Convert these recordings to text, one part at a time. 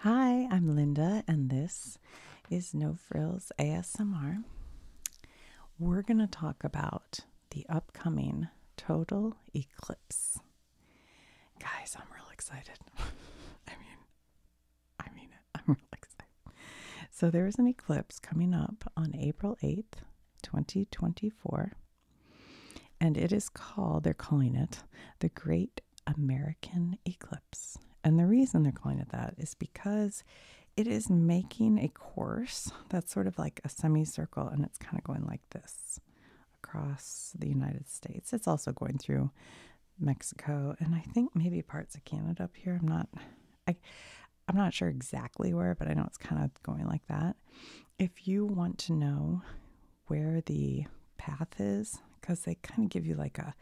Hi, I'm Linda, and this is No Frills ASMR. We're going to talk about the upcoming total eclipse. Guys, I'm real excited. I mean, I mean it. I'm real excited. So, there is an eclipse coming up on April 8th, 2024, and it is called, they're calling it the Great American eclipse. And the reason they're calling it that is because it is making a course that's sort of like a semicircle and it's kind of going like this across the United States. It's also going through Mexico and I think maybe parts of Canada up here. I'm not I I'm not sure exactly where, but I know it's kind of going like that. If you want to know where the path is because they kind of give you like a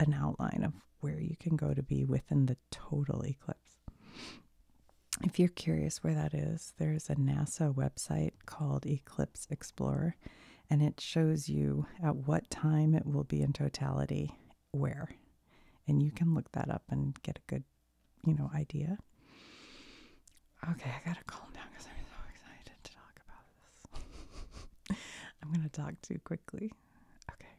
an outline of where you can go to be within the total eclipse. If you're curious where that is, there's a NASA website called Eclipse Explorer, and it shows you at what time it will be in totality where. And you can look that up and get a good, you know, idea. Okay, I gotta calm down because I'm so excited to talk about I'm going to talk too quickly. Okay.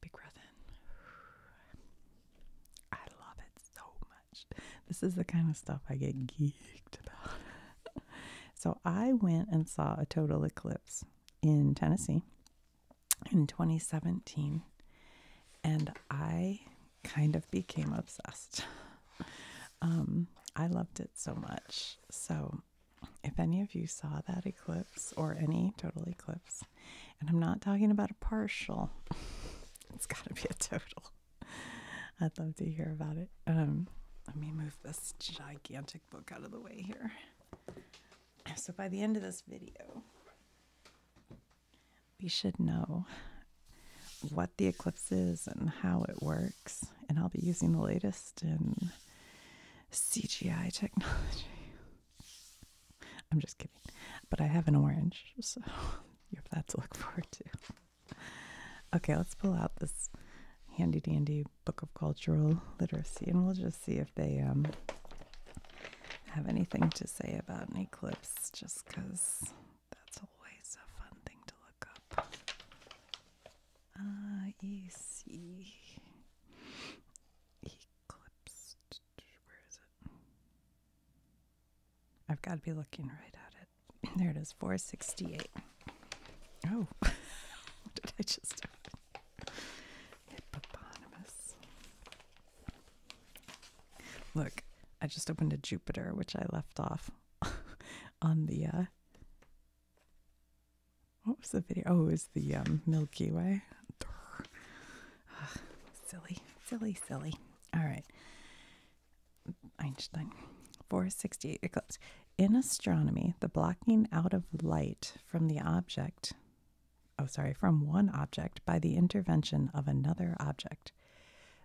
Big breath in. I love it so much. This is the kind of stuff I get geeked about. so I went and saw a total eclipse in Tennessee in 2017 and I kind of became obsessed. Um, I loved it so much. So, if any of you saw that eclipse or any total eclipse, and I'm not talking about a partial, it's got to be a total. I'd love to hear about it. Um, let me move this gigantic book out of the way here. So, by the end of this video, we should know what the eclipse is and how it works and I'll be using the latest in CGI technology. I'm just kidding, but I have an orange, so you have that to look forward to. Okay, let's pull out this handy dandy book of cultural literacy, and we'll just see if they um, have anything to say about an eclipse, just because that's always a fun thing to look up. I ah, see Where is it? I've got to be looking right at it. There it is, 468. Oh, what did I just open? Look, I just opened a Jupiter, which I left off on the uh, what was the video? Oh, it was the um, Milky Way. silly, silly, silly. All right. Einstein. 468 eclipse. In astronomy, the blocking out of light from the object, oh, sorry, from one object by the intervention of another object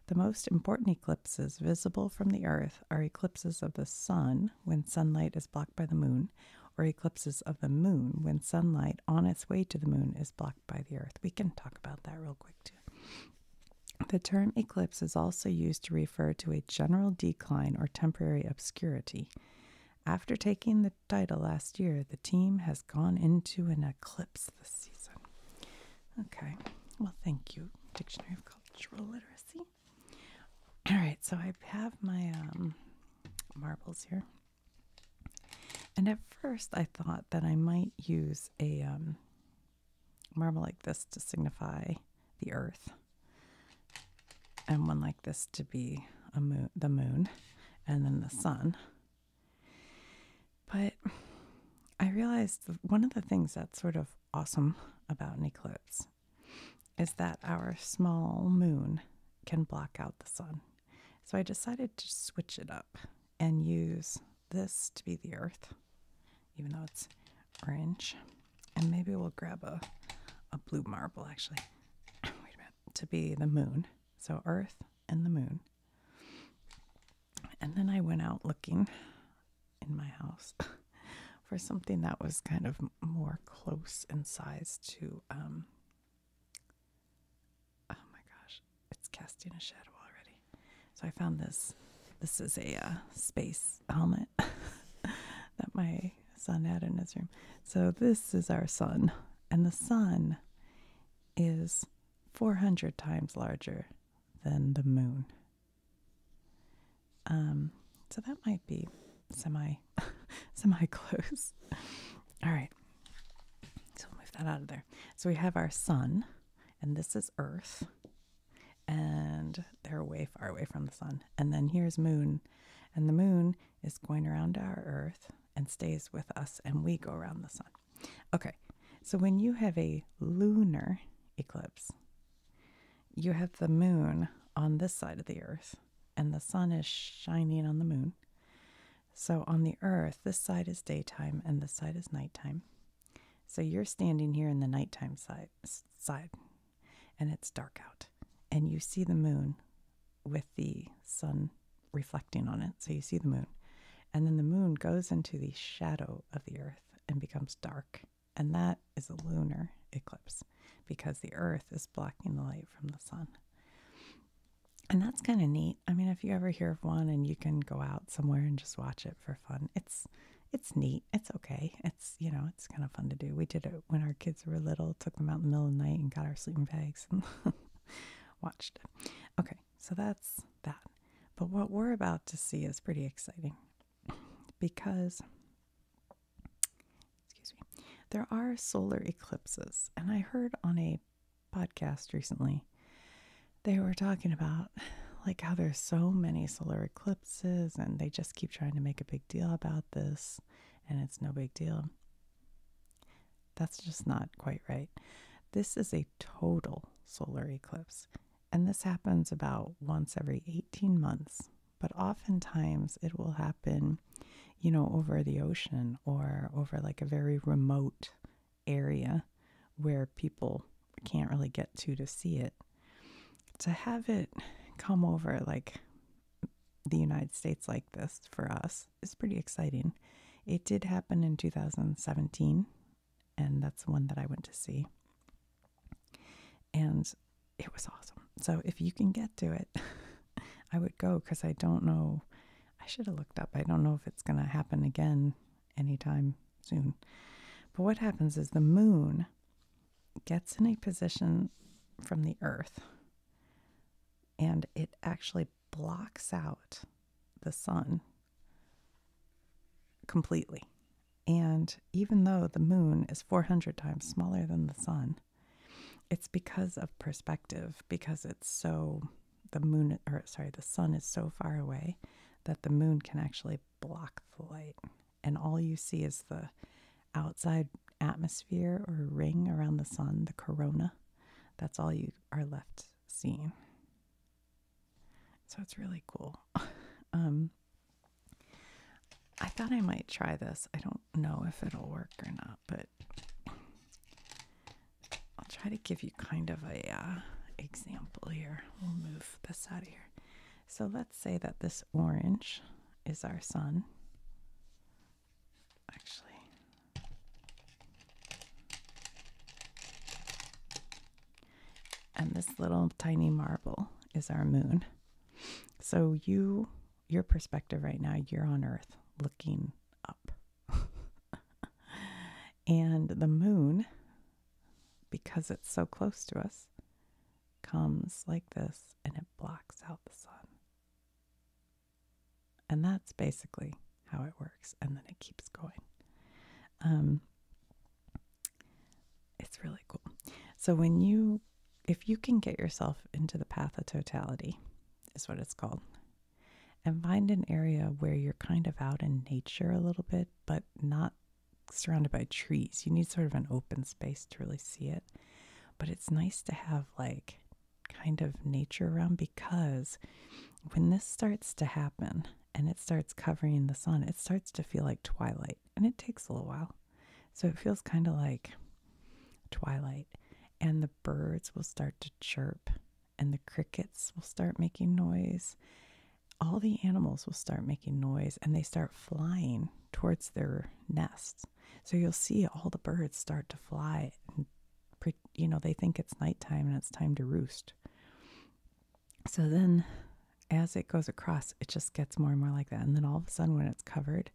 the most important eclipses visible from the Earth are eclipses of the Sun when sunlight is blocked by the Moon, or eclipses of the Moon when sunlight on its way to the Moon is blocked by the Earth. We can talk about that real quick, too. The term eclipse is also used to refer to a general decline or temporary obscurity. After taking the title last year, the team has gone into an eclipse this season. Okay, well, thank you, Dictionary of Cultural Literacy see? All right, so I have my um, marbles here. And at first, I thought that I might use a um, marble like this to signify the earth, and one like this to be a moon, the moon, and then the sun. But I realized one of the things that sort of awesome about an is that our small moon can block out the sun. So I decided to switch it up and use this to be the earth, even though it's orange. And maybe we'll grab a, a blue marble actually, to be the moon. So earth and the moon. And then I went out looking in my house for something that was kind of more close in size to, um, oh my gosh, it's casting a shadow already. So I found this. This is a uh, space helmet that my son had in his room. So this is our sun, and the sun is 400 times larger than the moon. Um, so that might be semi semi close. All right. So move that out of there. So we have our sun, and this is Earth, and they're way far away from the sun. And then here's moon, and the moon is going around our Earth and stays with us, and we go around the sun. Okay. So when you have a lunar eclipse, you have the moon on this side of the earth, and the sun is shining on the moon. So on the earth, this side is daytime and this side is nighttime. So you're standing here in the nighttime side, side and it's dark out. And you see the moon with the sun reflecting on it. So you see the moon. And then the moon goes into the shadow of the earth and becomes dark and that is a lunar eclipse because the earth is blocking the light from the sun. And that's kind of neat. I mean, if you ever hear of one and you can go out somewhere and just watch it for fun, it's it's neat. It's okay. It's you know, it's kind of fun to do. We did it when our kids were little, took them out in the middle of the night and got our sleeping bags and watched it. Okay, so that's that. But what we're about to see is pretty exciting because excuse me, there are solar eclipses, and I heard on a podcast recently they were talking about like how there's so many solar eclipses and they just keep trying to make a big deal about this and it's no big deal. That's just not quite right. This is a total solar eclipse. And this happens about once every 18 months, but oftentimes it will happen, you know, over the ocean or over like a very remote area where people can't really get to to see it. To have it come over like the United States like this for us is pretty exciting. It did happen in 2017 and that's the one that I went to see. And it was awesome. So if you can get to it, I would go because I don't know. I should have looked up. I don't know if it's going to happen again anytime soon. But what happens is the moon gets in a position from the earth and it actually blocks out the sun completely. And even though the moon is 400 times smaller than the sun, it's because of perspective, because it's so, the moon, or sorry, the sun is so far away that the moon can actually block the light. And all you see is the outside atmosphere or ring around the sun, the corona. That's all you are left seeing. So it's really cool. Um, I thought I might try this. I don't know if it'll work or not, but I'll try to give you kind of a uh, example here. We'll move this out of here. So let's say that this orange is our sun. Actually, and this little tiny marble is our moon. So you your perspective right now, you're on earth looking up. and the moon because it's so close to us comes like this and it blocks out the sun. And that's basically how it works. And then it keeps going. Um, it's really cool. So when you if you can get yourself into the path of totality is what it's called. And find an area where you're kind of out in nature a little bit, but not surrounded by trees. You need sort of an open space to really see it. But it's nice to have like kind of nature around because when this starts to happen, and it starts covering the sun, it starts to feel like twilight. And it takes a little while. So it feels kind of like twilight. And the birds will start to chirp, and the crickets will start making noise. All the animals will start making noise and they start flying towards their nests. So you'll see all the birds start to fly. And, you know, they think it's nighttime and it's time to roost. So then as it goes across, it just gets more and more like that. And then all of a sudden, when it's covered,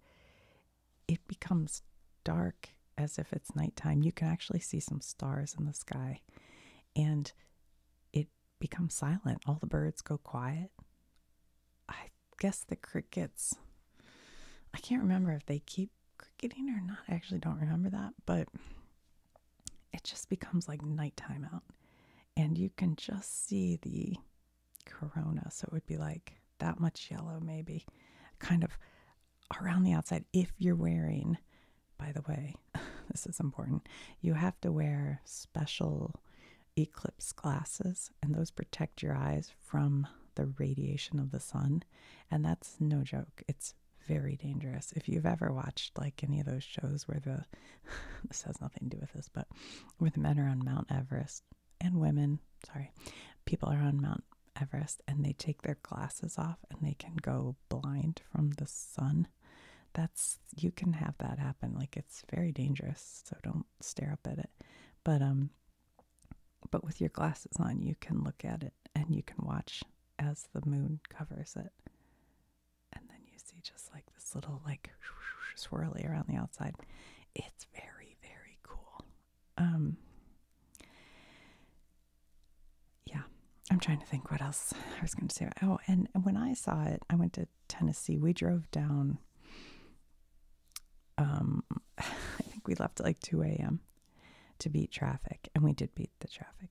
it becomes dark as if it's nighttime. You can actually see some stars in the sky. And it becomes silent. All the birds go quiet. I guess the crickets, I can't remember if they keep cricketing or not. I actually don't remember that. But it just becomes like nighttime out and you can just see the corona. So it would be like that much yellow, maybe kind of around the outside. If you're wearing, by the way, this is important, you have to wear special eclipse glasses, and those protect your eyes from the radiation of the sun. And that's no joke. It's very dangerous. If you've ever watched like any of those shows where the this has nothing to do with this, but with men are on Mount Everest and women, sorry, people are on Mount Everest and they take their glasses off and they can go blind from the sun. That's you can have that happen. Like it's very dangerous, so don't stare up at it. But um but with your glasses on, you can look at it and you can watch as the moon covers it and then you see just like this little like swirly around the outside. It's very very cool. Um Yeah, I'm trying to think what else I was going to say. Oh, and when I saw it, I went to Tennessee. We drove down um I think we left like 2 a.m. to beat traffic and we did beat the traffic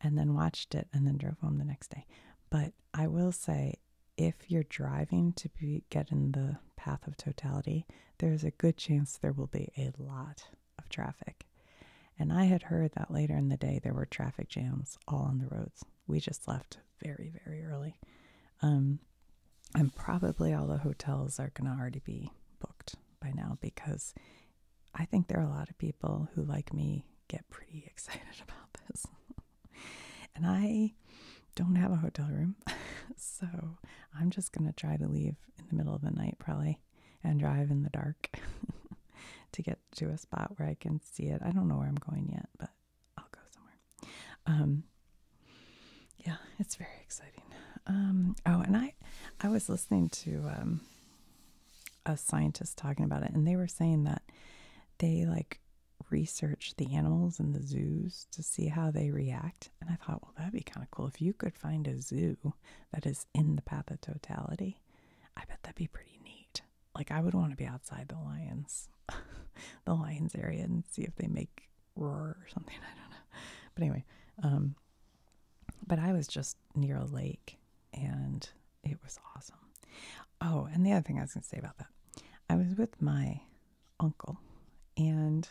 and then watched it and then drove home the next day. But I will say, if you're driving to be, get in the path of totality, there's a good chance there will be a lot of traffic. And I had heard that later in the day there were traffic jams all on the roads. We just left very, very early. Um, and probably all the hotels are going to already be booked by now because I think there are a lot of people who, like me, get pretty excited about this. and I don't have a hotel room, so I'm just going to try to leave in the middle of the night probably and drive in the dark to get to a spot where I can see it. I don't know where I'm going yet, but I'll go somewhere. Um yeah, it's very exciting. Um oh, and I I was listening to um a scientist talking about it, and they were saying that they like researched the animals in the zoos to see how they react. And I thought, well, that'd be kind of cool if you could find a zoo that is in the path of totality. I bet that'd be pretty neat. Like, I would want to be outside the lions, the lions area, and see if they make roar or something. I don't know. But anyway, um, but I was just near a lake and it was awesome. Oh, and the other thing I was going to say about that I was with my uncle and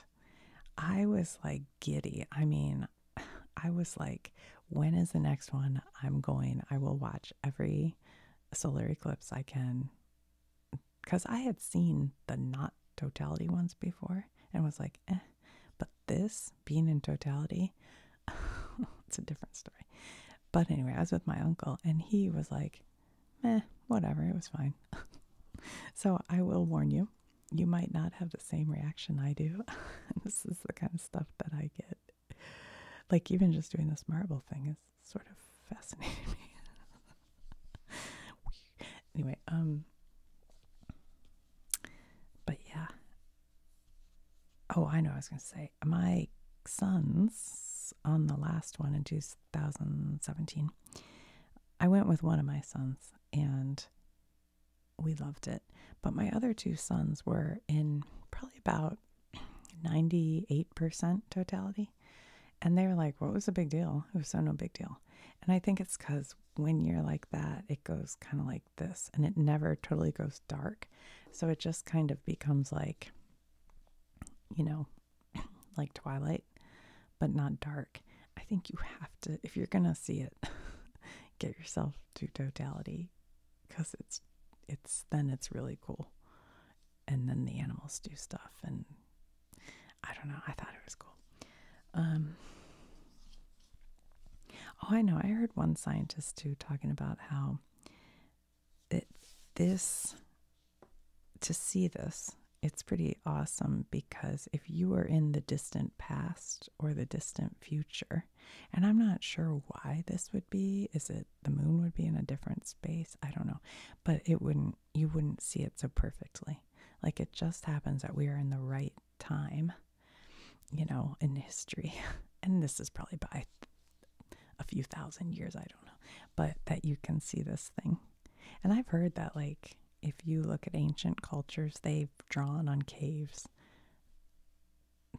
I was like giddy. I mean, I was like, when is the next one I'm going? I will watch every solar eclipse I can. Because I had seen the not totality ones before and was like, eh, But this being in totality it's a different story. But anyway, I was with my uncle, and he was like, meh, whatever, it was fine. so I will warn you, you might not have the same reaction I do. this is the kind of stuff that I get. Like, even just doing this marble thing is sort of fascinating me. anyway, um, but yeah. Oh, I know I was going to say my sons on the last one in 2017. I went with one of my sons and we loved it. But my other two sons were in probably about 98% totality. And they were like, What was a big deal? It was so no big deal. And I think it's because when you're like that, it goes kind of like this and it never totally goes dark. So it just kind of becomes like, you know, like twilight, but not dark. I think you have to, if you're going to see it, get yourself to totality because it's, it's, then it's really cool. And then the animals do stuff. And I don't know, I thought it was cool. Um, Oh, I know. I heard one scientist too talking about how it, this, to see this, it's pretty awesome because if you are in the distant past or the distant future, and I'm not sure why this would be, is it the moon would be in a different space? I don't know. But it wouldn't, you wouldn't see it so perfectly. Like it just happens that we are in the right time you know, in history. And this is probably by a few thousand years, I don't know, but that you can see this thing. And I've heard that, like, if you look at ancient cultures, they've drawn on caves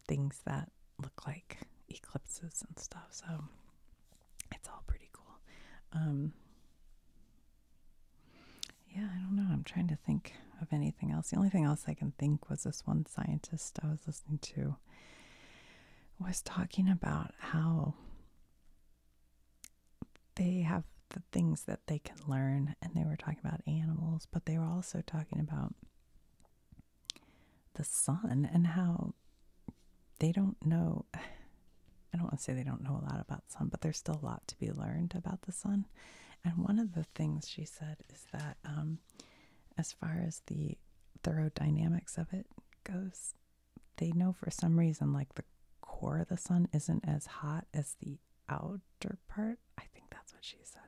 things that look like eclipses and stuff. So it's all pretty cool. Um, yeah, I don't know. I'm trying to think of anything else. The only thing else I can think was this one scientist I was listening to was talking about how they have the things that they can learn, and they were talking about animals, but they were also talking about the sun and how they don't know. I don't want to say they don't know a lot about sun, but there's still a lot to be learned about the sun. And one of the things she said is that um, as far as the thorough dynamics of it goes, they know for some reason, like the core of the sun isn't as hot as the outer part. I think that's what she said.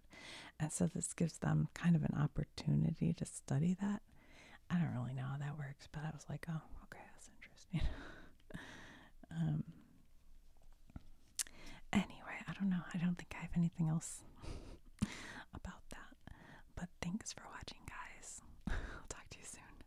And so this gives them kind of an opportunity to study that. I don't really know how that works, but I was like, oh, okay, that's interesting. Um, Anyway, I don't know. I don't think I have anything else about that. But thanks for watching, guys. I'll talk to you soon.